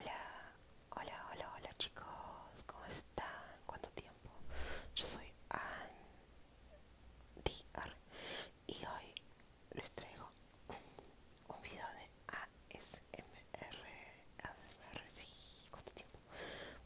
Hola, hola, hola, hola chicos, ¿cómo están? ¿Cuánto tiempo? Yo soy R y hoy les traigo un video de ASMR. ASMR, sí, ¿cuánto tiempo?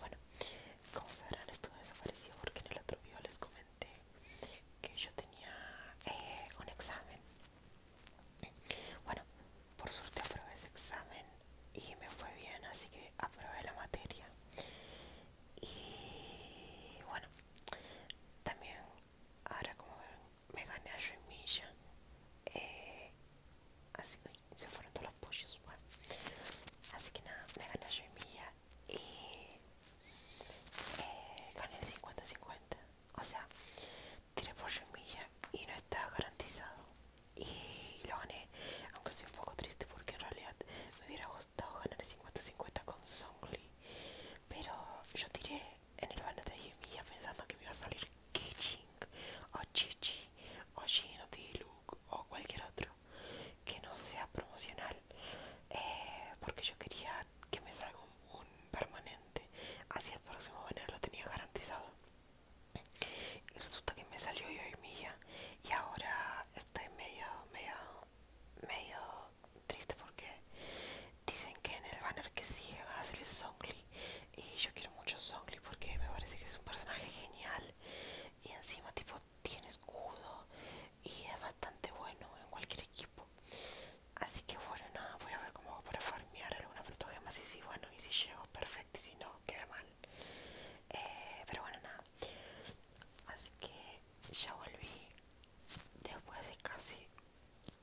Bueno, como sabrán, estuve desaparecido porque en el otro video les comenté que yo tenía eh, un examen bueno, por suerte aprobé ese examen y me fue bien, así que aprobé la materia. Y bueno, también ahora como ven, me gané a Remilla. Eh, así que se fueron todos los pushes bueno. Así que nada, me gané a Remilla y eh, gané 50-50. O sea, tiré por semilla y no estaba garantizado y lo gané aunque estoy un poco triste porque en realidad me hubiera gustado ganar el 50-50 con Songli pero yo tiré en el banner de semilla pensando que me iba a salir Kiching o Chichi o Gino look o cualquier otro que no sea promocional eh, porque yo quería que me salga un, boom permanente hacia el próximo banner lo tenía garantizado y resulta que me salió yo y y ahora estoy medio medio medio triste porque dicen que en el banner que sigue va a ser el Zongli y yo quiero mucho Zongli porque me parece que es un personaje genial y encima tipo tiene escudo y es bastante bueno en cualquier equipo así que bueno nada voy a ver cómo va por Fargo mirar alguna frutogema, si y si bueno, y si llego, perfecto, y si no, queda mal. Eh, pero bueno, nada. Así que ya volví después de casi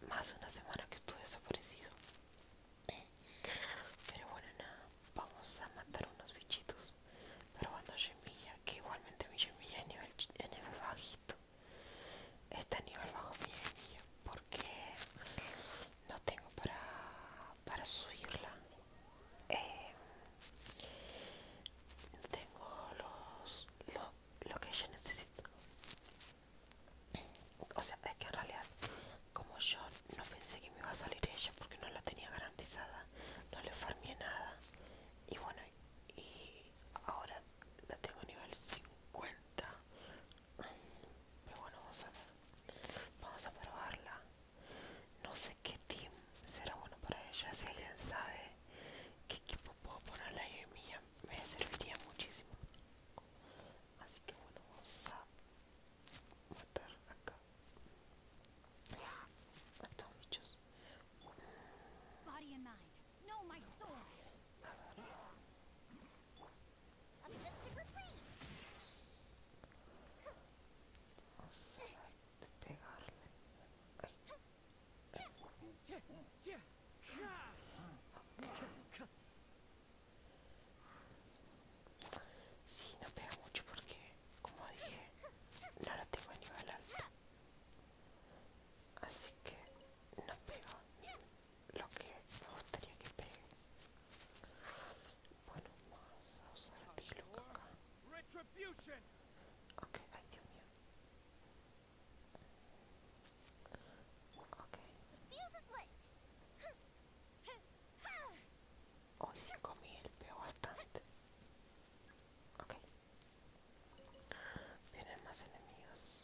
más de una semana que estuve desaparecido. Pero bueno, nada, vamos a matar unos bichitos probando gemilla que igualmente mi semilla es nivel, nivel bajito está nivel bajo mi porque no tengo para, subirla eh, tengo los lo, que ella necesito o sea es que en realidad como yo no pensé que me iba a salir ella porque no la tenía garantizada no le farmé nada y bueno y ahora la tengo a nivel 50 pero bueno, vamos a ver. Vamos a probarla. No sé qué team será bueno para ella. Si alguien sabe qué equipo puedo ponerla ahí mía, me serviría muchísimo. Así que bueno, vamos a matar acá a estos bichos. A ver. Sí, no pega mucho porque, como dije, no la tengo a nivel alto. Así que no pega lo que me gustaría que pegue. Bueno, vamos a usar el ti, loco, acá. Ok, ay Dios mío. Ok. Hoy cinco comí el peo bastante. Ok. Vienen más enemigos.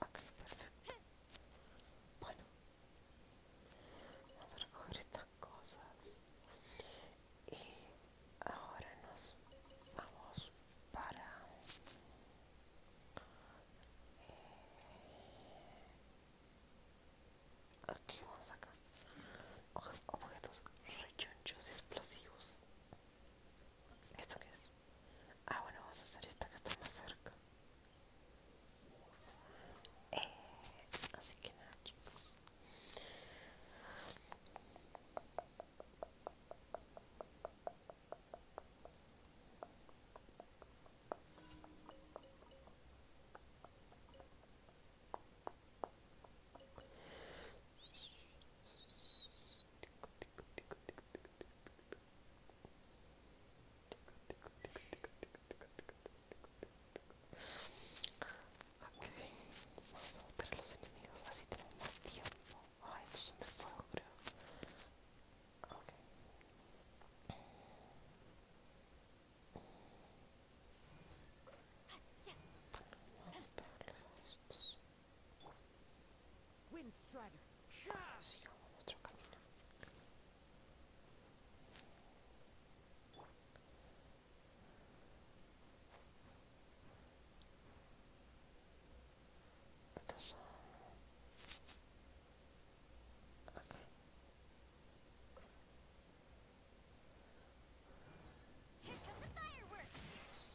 Ok, perfecto. Bueno, vamos a recoger estas cosas. Y ahora nos vamos para... Eh, aquí vamos acá. Cogemos objetos rechonchos explosivos. ¿Esto qué es? Ah, bueno, vamos a hacer esta que está más cerca. Eh, así que nada, chicos. tico, tico, tico, Okay, vamos a buscar a los enemigos, así tenemos más tiempo. Ay, estos son de fuego, creo. Okay. Bueno, vamos a pegarles a estos. Wind Strider. Zero otro camino. This, uh, okay. Here come the fireworks.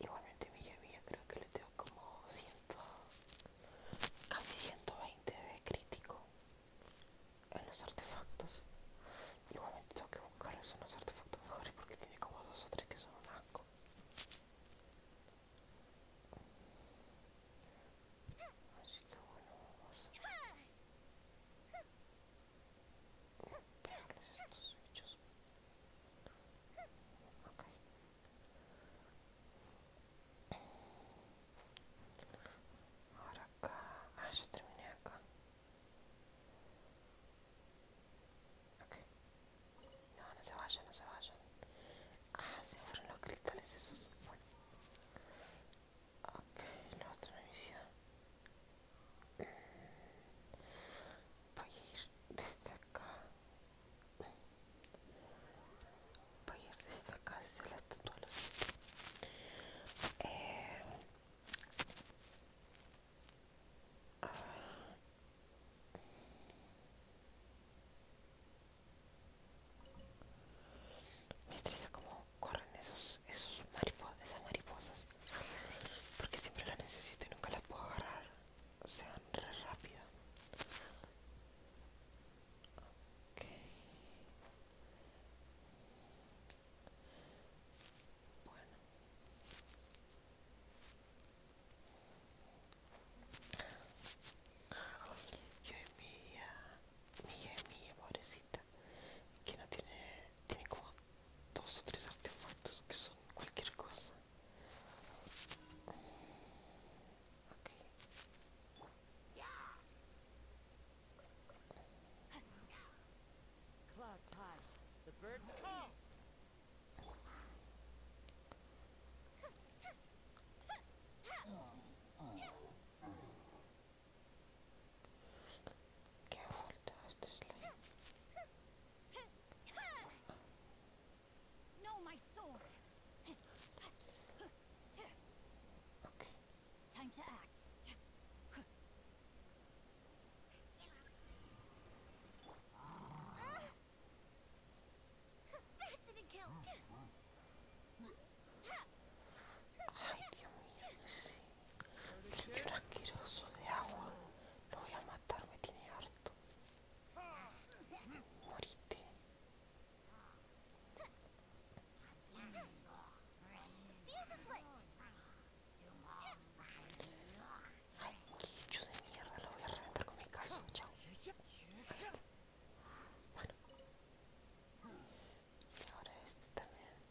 Igualmente mi Villa creo que le tengo como 100, casi 120 de crítico en los artefactos. Igualmente tengo que buscar unos artefactos mejores porque tiene como dos o tres que son un Así que bueno, vamos a Değerli estos bichos. Ok. Ahora acá. Ah, ya terminé acá. Ok. No, no se vayan, no se vayan. Ah, se fueron los cristales esos. Bueno. Ok, la otra misión. voy a desde acá voy a ir desde acá eh, ah. como corren esos, esos mariposas, esas mariposas porque siempre la necesito y nunca la puedo agarrar o sea, re rápido ok bueno yo envidia mi envidia pobrecita que no tiene tiene como Dos então outros artefatos que são qualquer coisa. Ok. Clouds high. The No, my soul. Okay. Time to act. Ay, Dios mío, sí. El viejo asqueroso de agua. Lo voy a matar, me tiene harto. Morite. Ay, quicho de mierda, lo voy a reventar con mi caso. Chao. Bueno. Y ahora este también.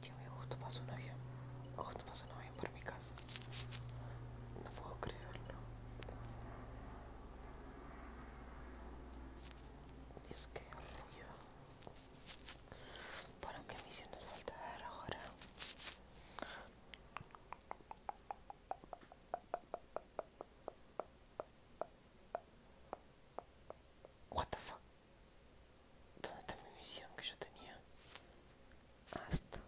Che, justo pasó un avión. Justo pasó un avión por mi casa. No puedo creerlo. Dios, qué ruido. Bueno, que me hicieron falta ver ahora. What the fuck? ¿Dónde está mi misión que yo tenía? Hasta.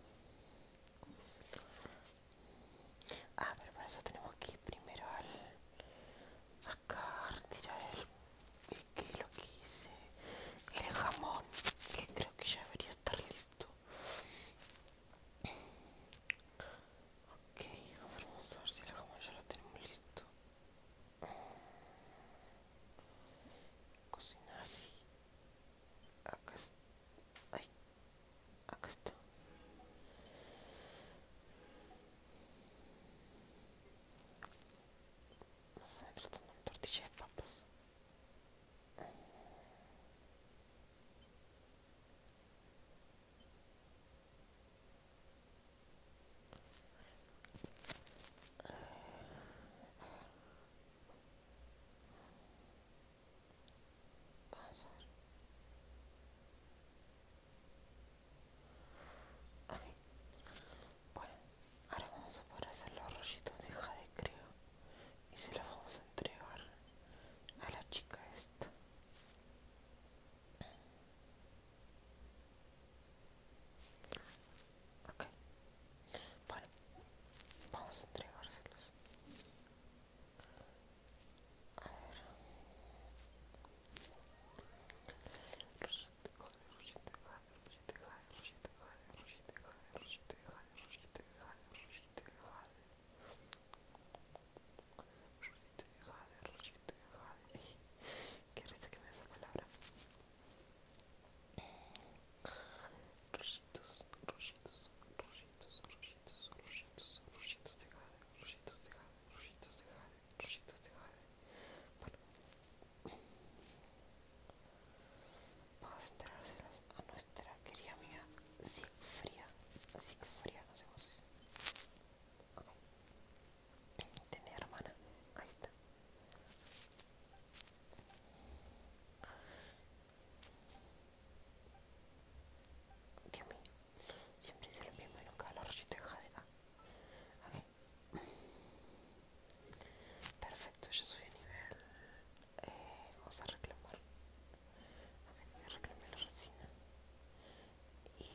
Ah, pero para eso tenemos que ir primero al. Acá, retirar el. ¿Qué lo que El jamón, que creo que ya debería estar listo. Ok, vamos a ver si el jamón ya lo tenemos listo. Cocinar así. Acá está. Ay. Acá está. Vamos a tratar un tortilla de papas bueno ahora vamos a poder hacer los rollitos de jade de creo y se los vamos a entregar a la chica esta Ok, vale, vamos a entregárselos. A ver que me esa palabra. Rollitos, rollitos, rollitos, rollitos, de Jade, rollitos de Jade, rollitos de Jade, rollitos de Jade. Bueno. Vamos a a nuestra querida amiga Sigfría Sigfría no sé cómo se tiene hermana. Ahí está. siempre hice lo mismo y nunca lo de acá, Perfecto, Ya soy a nivel. Eh, vamos a reclamar. voy a reclamar la resina. Y.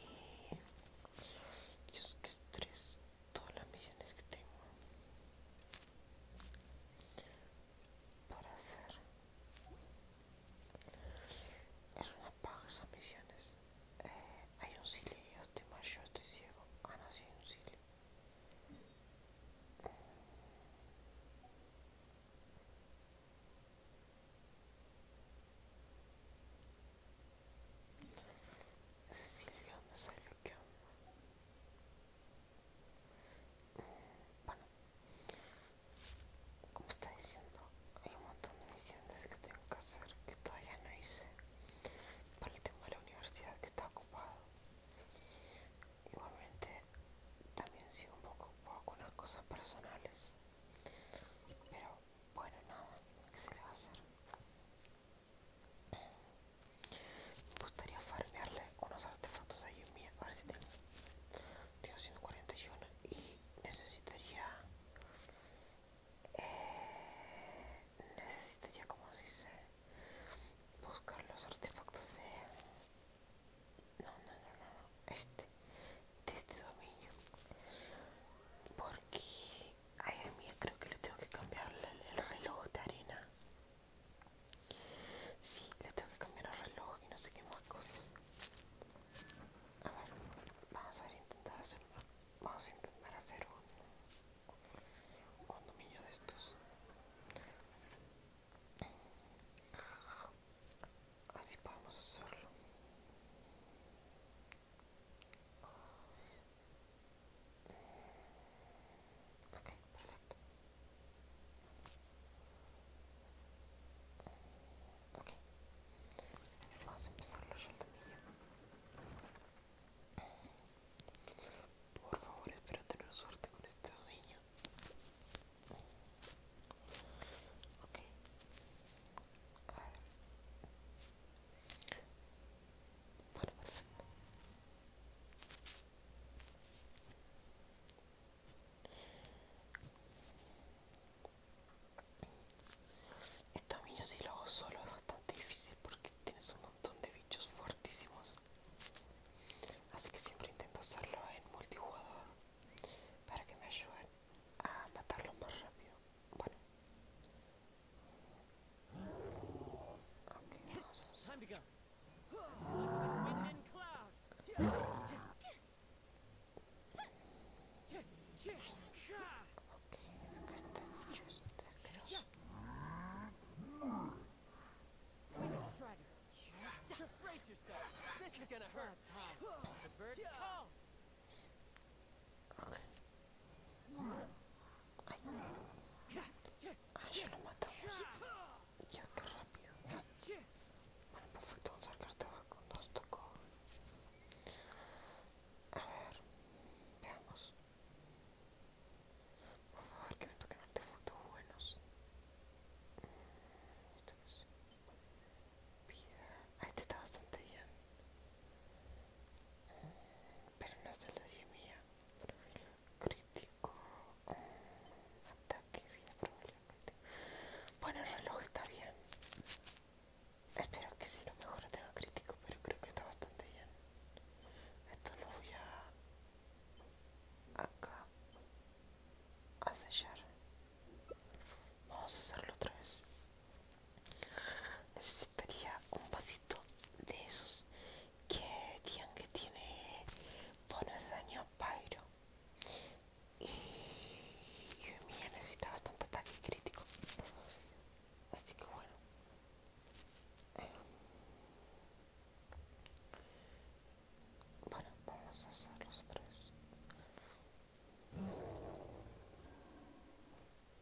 Dios, que estrés todas las misiones que tengo para hacer es una paga esas misiones eh, hay un sili yo estoy mayor, estoy ciego ah no sí un sili Cecilia, ¿dónde lo que mm, Bueno, como está diciendo, hay un montón de misiones que tengo que hacer que todavía no hice para el tema de la universidad que está ocupado. Igualmente, también sigo un poco ocupado con las cosas personales, pero bueno, nada, ¿qué se le va a hacer? Me gustaría farmearle unos artefactos ahí en mía, ahora sí tengo. Tengo 141 y necesitaría. Eh, necesitaría, como se dice, buscar los artefactos de. No, no, no, no, este. De este dominio. Porque Ay, a creo que le tengo que cambiar el, reloj de arena. Sí, le tengo que cambiar el reloj y no sé qué más cosas. A ver, vamos a intentar hacer vamos a intentar hacer un, un dominio de estos. Así podemos hacerlo. Ok, perfecto. Ok, vamos a empezar la también. Por favor, espero tener suerte con este dueño. Ok, a ver. Bueno, perfecto. Este mío si lo hago solo es bastante difícil porque tienes un montón de bichos Fortísimos Así que siempre intento hacerlo en multijugador para que me ayuden a matarlos más rápido. What? Okay, awesome. Time to go. Brace yourself. This is gonna hurt. The bird's call. Ay. Ay, ya lo matamos. Ya, qué rápido. Bueno, perfecto, vamos a sacar tabaco. Nos tocó. A ver, veamos. Por favor, que me toquen artefactos buenos. Esto es vida. Ah, este está bastante bien pero no se lo di mía crítico mm, ataque bueno el reloj está bien espero que si lo mejor tenga crítico pero creo que está bastante bien esto lo voy a acá a sellar vamos a hacerlo otra vez necesitaría un vasito de esos que digan que tiene poner de daño pyro y mi ha necesitado necesita bastante ataque crítico así que bueno bueno vamos a hacer los tres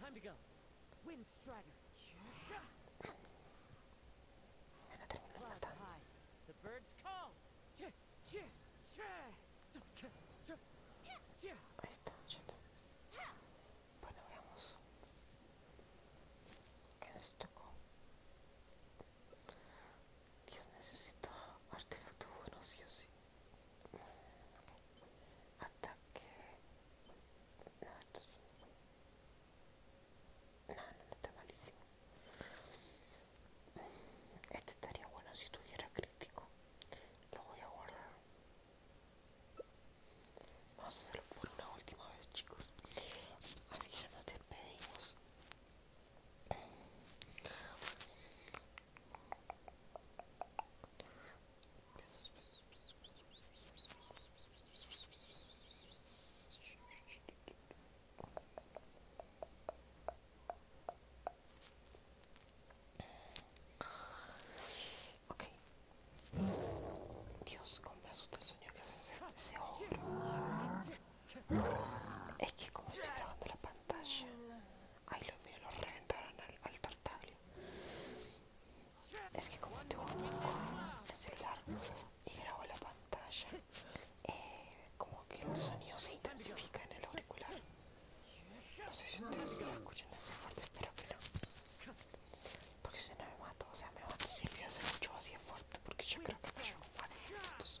Time to go. Wind Strider. Another cloud high. The birds call. Ahí está, ya está. Bueno, veamos. ¿Qué nos tocó? Dios necesita artefactos buenos sí o sí. hasta que no, no, está malísimo este estaría bueno si tuviera crítico lo voy a guardar vamos a hacerlo por una última vez chicos así que ya nos despedimos como Dios, compras otro sonho que se obra. é que como estoy grabando la pantalla, Ay, los míos lo reventaron al, tartaglio Es que como tengo el celular y grabo la pantalla, eh, como que el sonido se intensifica en el auricular. No sé si ustedes lo escuchan así fuerte, espero que no. Porque si no me mato, o sea, me mato si el mucho se así de fuerte, porque yo creo que me llevo más de minutos.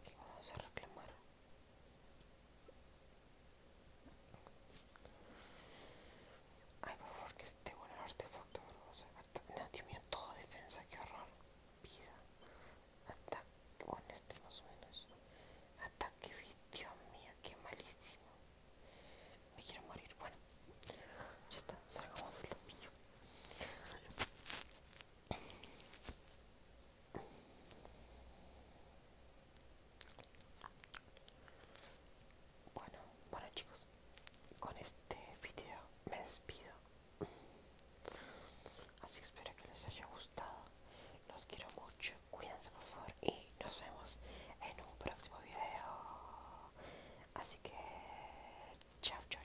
aquí vamos a reclamar ay por favor que esté bueno el artefacto no, Dios mío, todo defensa, que horror vida ataque, bueno este más o menos ataque, Dios mío, qué malísimo me quiero morir, bueno ya está, salgamos del topillo bueno, bueno chicos, con este video me despido. Así espero que les haya gustado. Los quiero mucho. Cuídense por favor y nos vemos en un próximo video. Así que chao, chao,